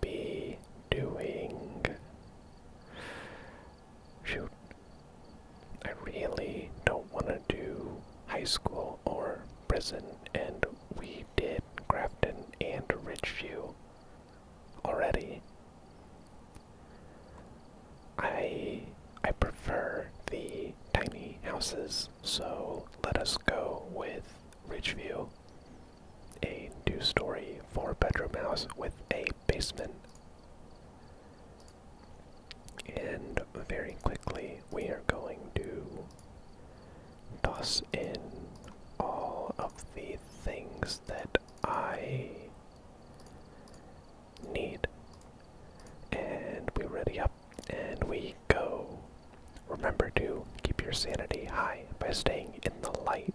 be doing? Shoot. I really don't want to do high school or prison, and we did Grafton and Ridgeview already. I I prefer the tiny houses, so let us go with Ridgeview. A two story, four bedroom house with a basement. And very quickly, we are going to toss in all of the things that I need. And we are ready up and we go. Remember to keep your sanity high by staying in the light.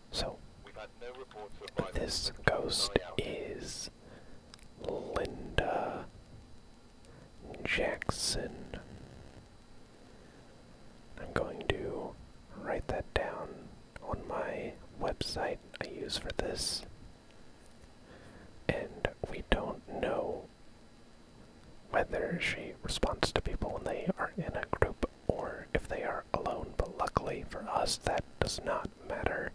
So, this ghost is Linda Jackson. I'm going to write that down on my website I use for this. And we don't know whether she responds to people when they are in a group or if they are alone, but luckily for us, that does not matter.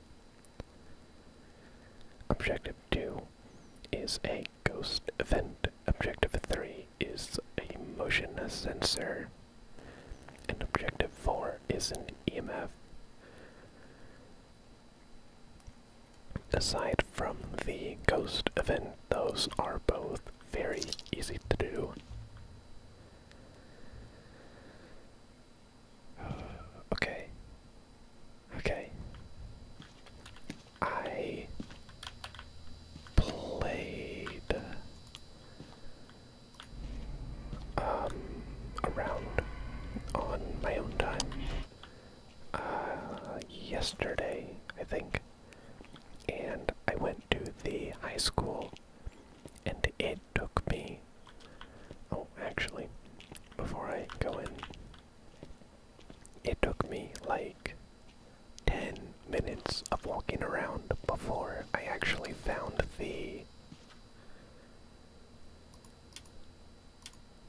Objective 2 is a ghost event. Objective 3 is a motion sensor. And objective 4 is an EMF. Aside from the ghost event, those are both very easy to do. okay. Okay. I played um, around on my own time uh, yesterday, I think. And I went to the high school and it it took me. Oh, actually, before I go in, it took me like 10 minutes of walking around before I actually found the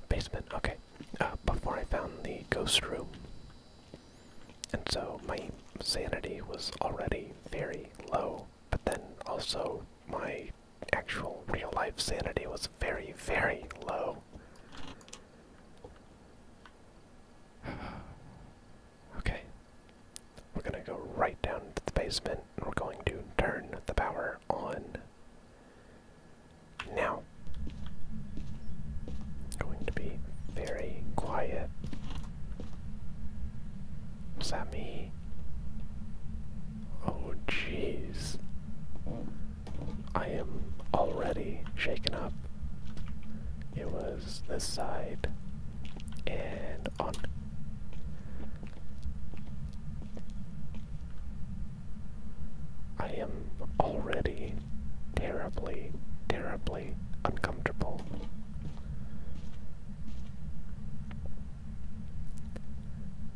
basement. Okay, uh, before I found the ghost room. And so my sanity was already very low but then also my actual real life sanity was very, very low. okay. We're gonna go right down to the basement and we're going to turn the power on. Now, going to be very quiet is that me? Oh, jeez. I am already shaken up. It was this side and on. I am already terribly, terribly uncomfortable.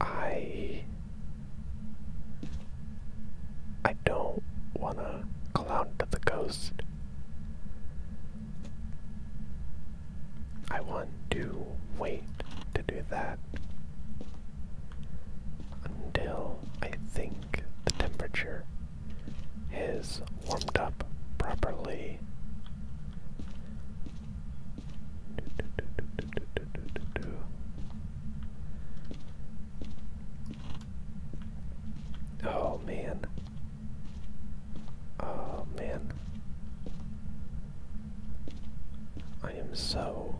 I I don't wanna go to the coast. I want to wait to do that until I think the temperature is warmed up properly Oh man. Oh man. I am so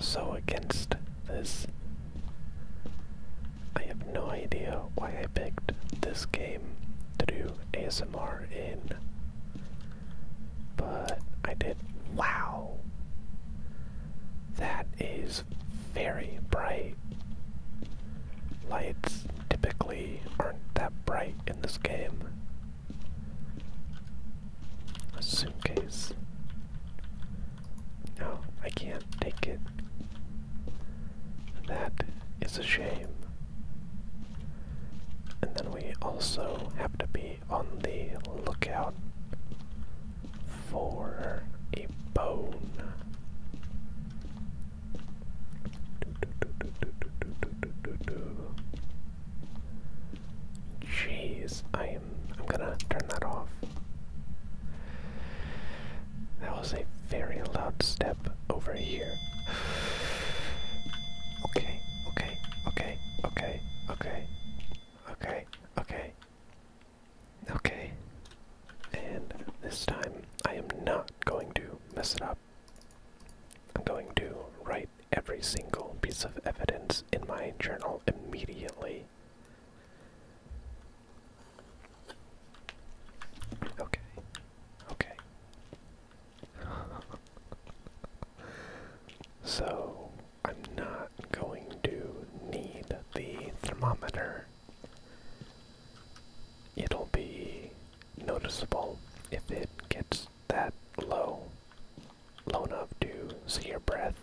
so against this. I have no idea why I picked this game to do ASMR in, but I did. Wow! That is very bright. Lights typically aren't that bright in this game. A suitcase. No, I can't take it. That is a shame. And then we also have to be on the lookout for a bone. Jeez, I am I'm gonna turn that off. That was a very loud step over here. Okay, okay, okay, okay, okay, okay, okay, okay. And this time I am not going to mess it up. I'm going to write every single piece of evidence in my journal immediately. Okay. Okay. so, I'm not going to need the thermometer. It'll be noticeable if it gets that low, low enough to see your breath.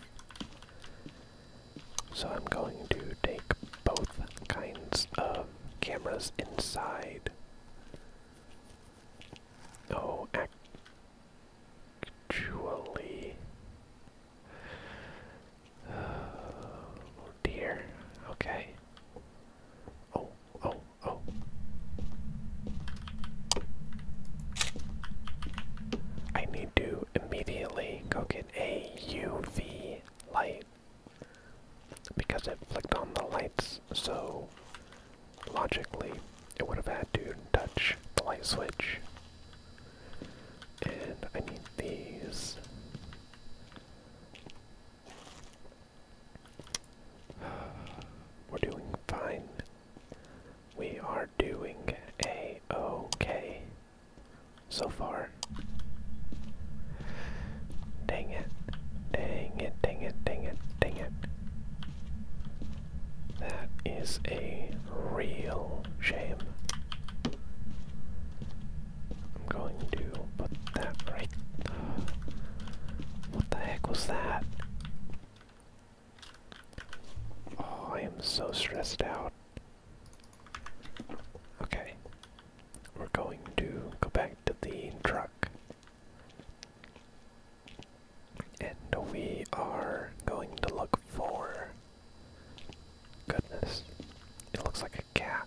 So I'm going to take both kinds of cameras inside. Oh, actually. dear. Okay. Oh, oh, oh. I need to immediately go get a UV light. Because it flicked on the lights, so logically it would have had to touch the light switch. And I need these. We're doing fine. We are doing a okay so far. Dang it. Dang it, dang it, dang it, dang it. That is a real shame. I'm going to put that right. What the heck was that? Oh, I am so stressed out. Okay, we're going to go back to the truck. And we are going to look for. Goodness. It looks like a cat.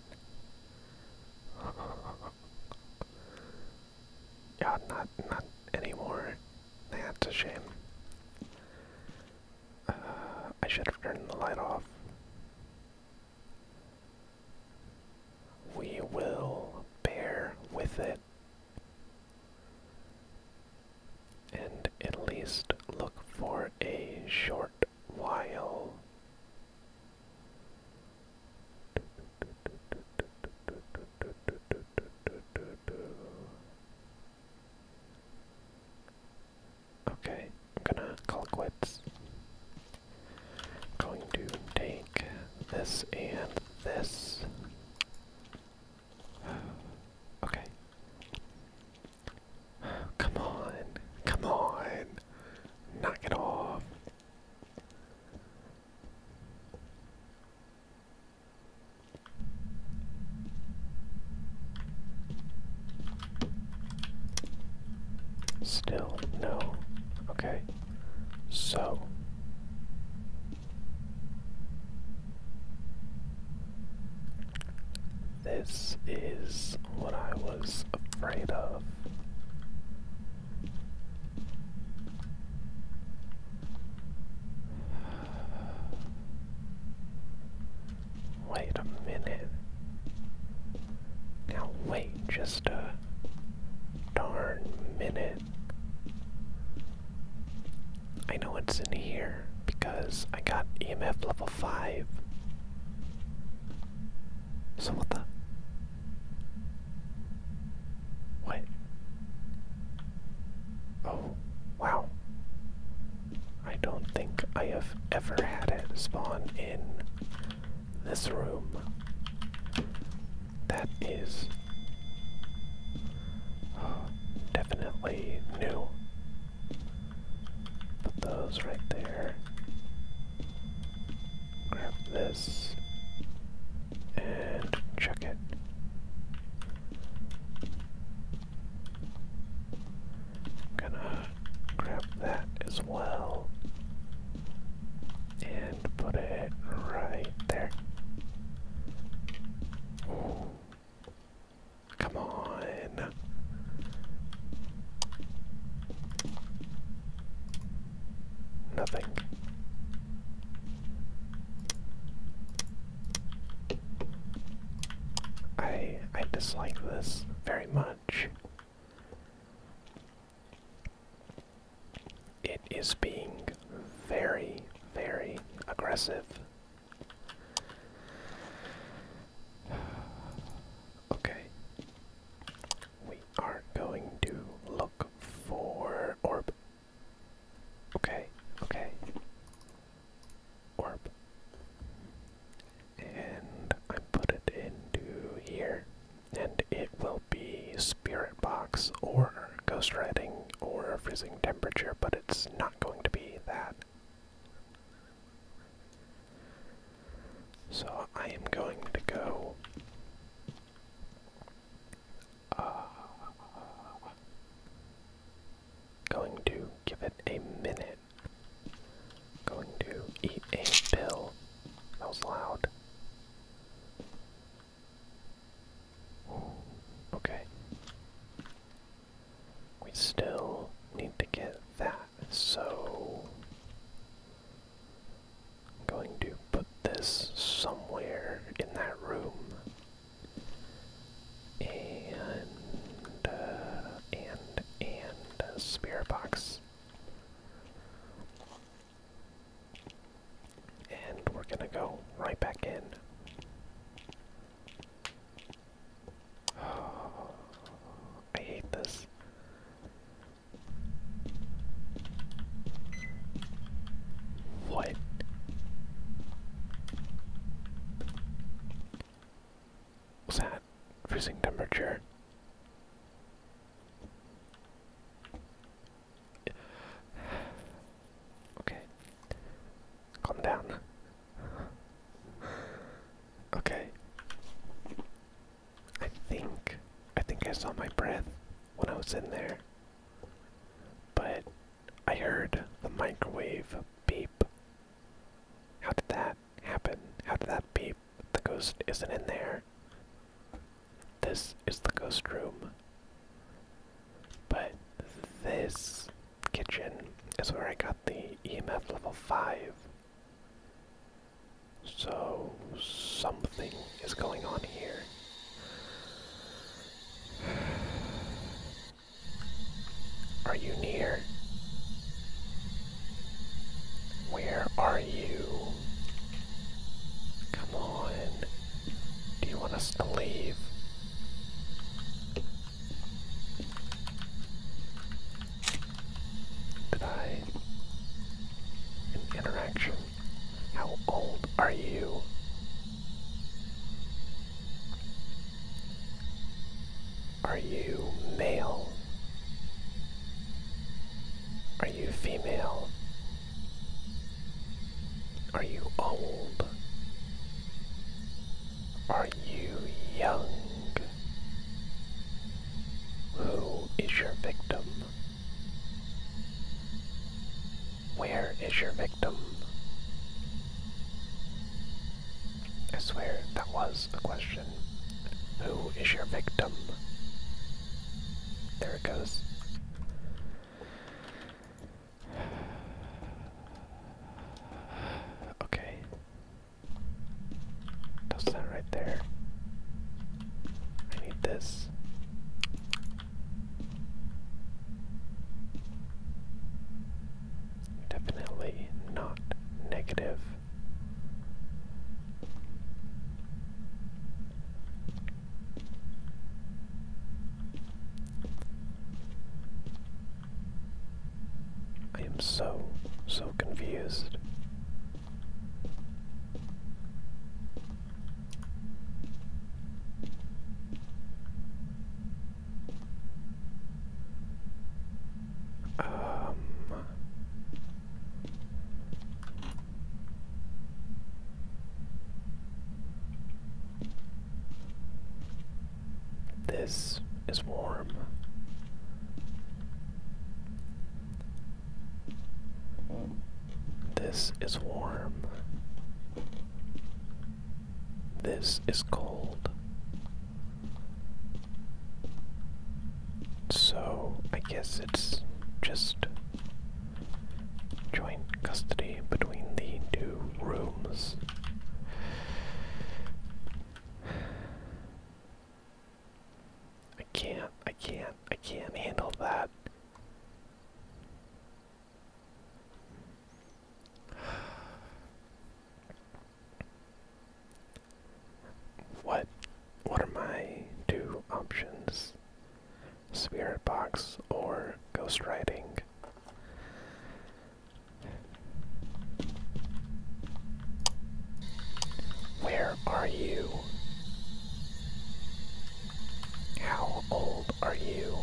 yeah, not, not anymore. That's a shame. Uh, I should have turned the light off. We will bear with it and at least look for a short while. Okay, I'm gonna call quits. I'm going to take this and this. Okay. Come on, come on, knock it off. Still no. Okay. So. This is what I was afraid of. Wait a minute. Now wait just a darn minute. I know it's in here because I got EMF level 5. So what the? What? Oh, wow. I don't think I have ever had it spawn in this room. That is uh, definitely new. Put those right there. Grab this and check it i gonna grab that as well and put it right there. Come on. Nothing. I I dislike this very much. It is being very, very aggressive. Okay. We are going to look for orb. Okay, okay. Orb and I put it into here, and it will be Spirit Box or Ghost writing or Freezing Temperature, but it's not going to be that. So I am going to go. Uh, going to give it a minute Going to eat a pill. That was loud. Okay. We still need to get that, so I'm going to put this somewhere in that room. And, uh, and, and spirit box. And we're gonna go right back in. I hate this. What? What's that? Freezing temperature. Okay. Calm down. okay. I think I think I saw my breath when I was in there. But I heard the microwave beep. How did that happen? How did that beep? The ghost isn't in there. This is the ghost room. But this kitchen is where I got the EMF level 5. So something is going on here. Are you near? Where are you? Come on. Do you want us to leave? Did interaction. How old are you? Are you male? Are you female? Are you old? Are you young? Who is your victim? Where is your victim? I swear that was a question. Who is your victim? There it goes. Okay. Does that right there? I need this. Definitely not negative. I am so, so confused. Um this is warm. This is warm. This is cold. So I guess it's just joint custody between the two rooms. I can't, I can't, I can't handle that. What what are my two options? Spirit box or ghost riding? Where are you? How old are you?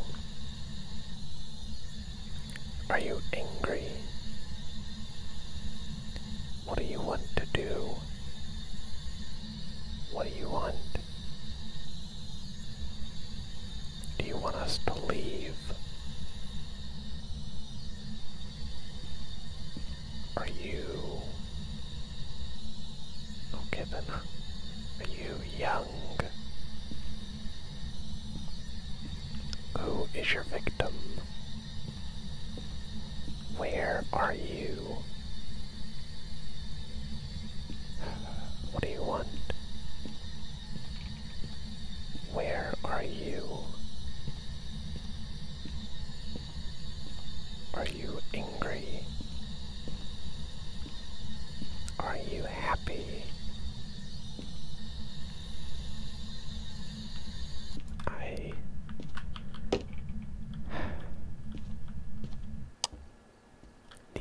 Are you angry? What do you want to do? What do you want? Do you want us to leave? Are you okay then? Are you young? Who is your victim? Where are you? What do you want? Where are you? Are you angry? Are you happy?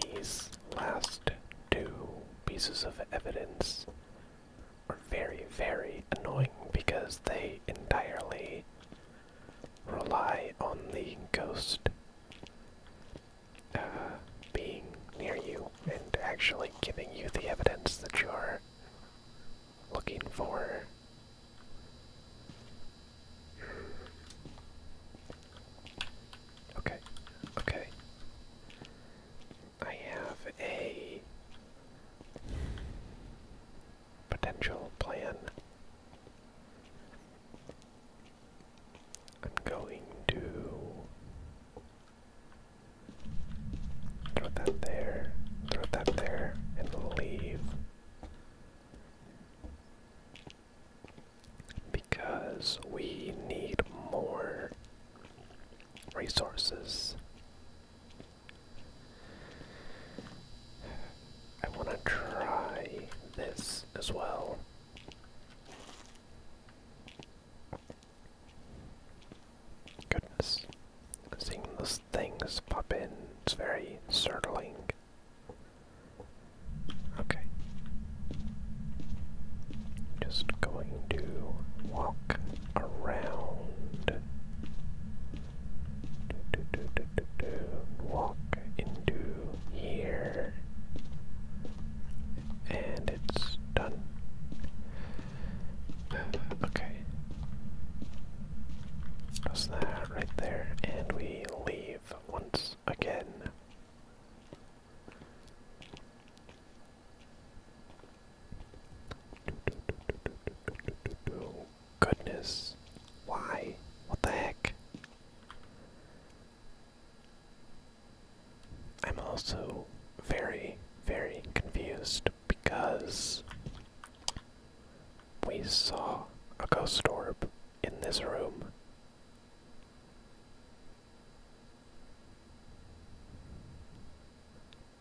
these last two pieces of evidence are very, very annoying because they entirely rely on the ghost uh, being near you and actually giving you the evidence that you're looking for. Okay, okay. I have a potential plan. I'm going to throw that there, throw that there, and leave. Because we need more resources. I want to try this as well. Goodness, seeing the things pop in. It's very startling. Okay. Just going to walk around. do, do, do, do, do. Walk into here. And it's done. Okay. That's that right there, and we leave once again. Goodness, why? What the heck? I'm also very, very confused because we saw a ghost orb in this room.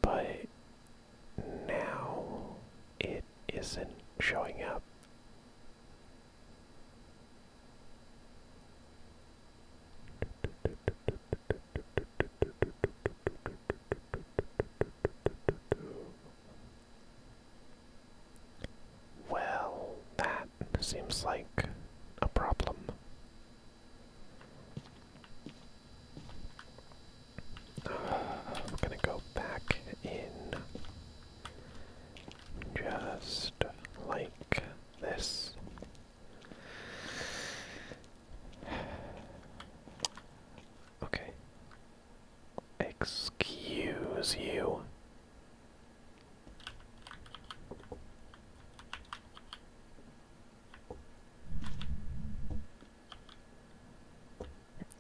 But now it isn't showing up. Well, that seems like a problem. I'm gonna go back in just like this. Okay, Excuse you.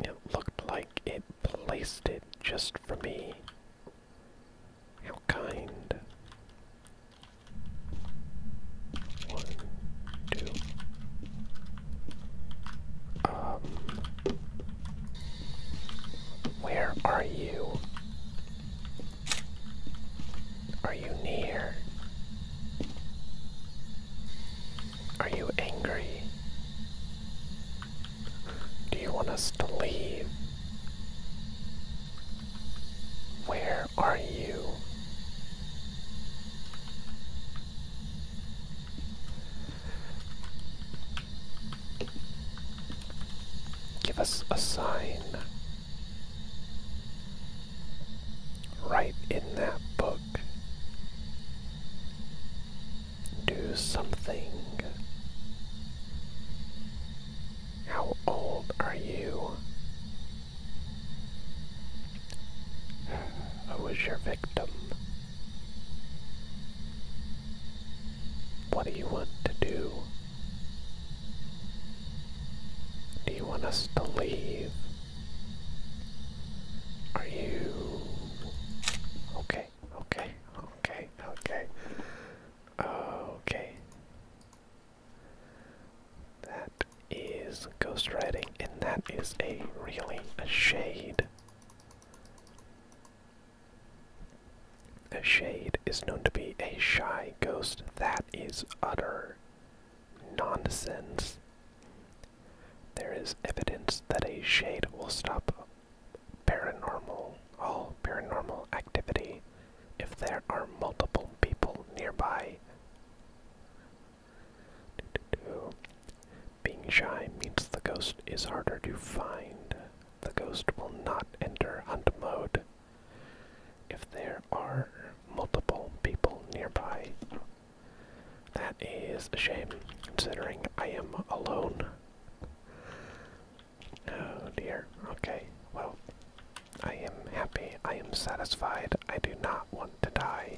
It looked like it placed it just for me. How kind. One, two, where are you? Are you near? Are you angry? Do you want us to leave? Where are you? Give us a sign right in that book. Do something. How old are you? Who was your victim? What do you want to do? Do you want us to leave? Are you okay? Okay, okay, okay, okay. That is ghostwriting, and that is a really a shade shade. A shade is known to be a shy ghost that is utter nonsense. There is evidence that a shade will stop paranormal, all paranormal activity if there are multiple people nearby. Being shy means the ghost is harder to find. The ghost will not enter hunt mode if there are multiple people nearby. That is a shame, considering I am alone. Oh dear. Okay, well, I am happy. I am satisfied. I do not want to die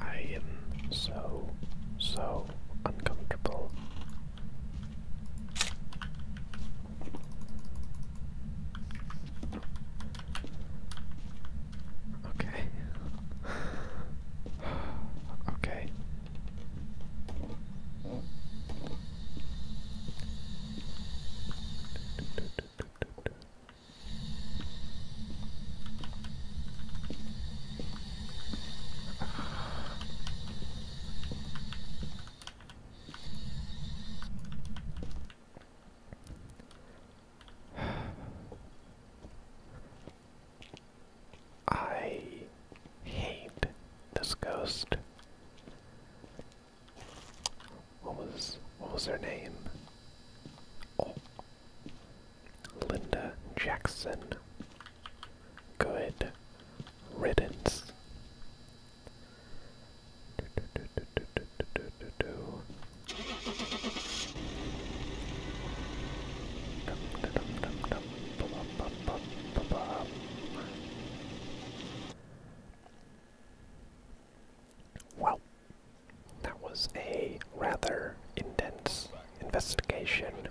I am so, so uncomfortable. Okay. okay. I hate this ghost. What was what was her name? Oh, Linda Jackson. Good riddance. Well, that was a rather intense investigation.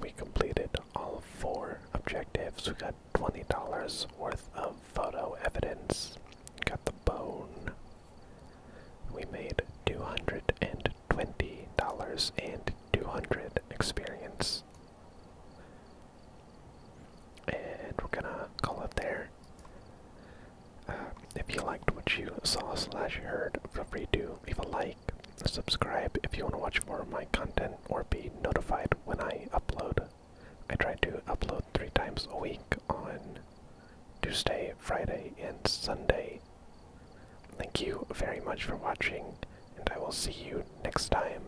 We completed all four objectives. We got $20 worth of photo evidence. Got the bone. We made $220 and 200 experience. And we're gonna call it there. Uh, if you liked what you saw slash heard, feel free to leave a like, subscribe if you want to watch more of my content, or be notified when I upload. I try to upload three times a week on Tuesday, Friday, and Sunday. Thank you very much for watching, and I will see you next time.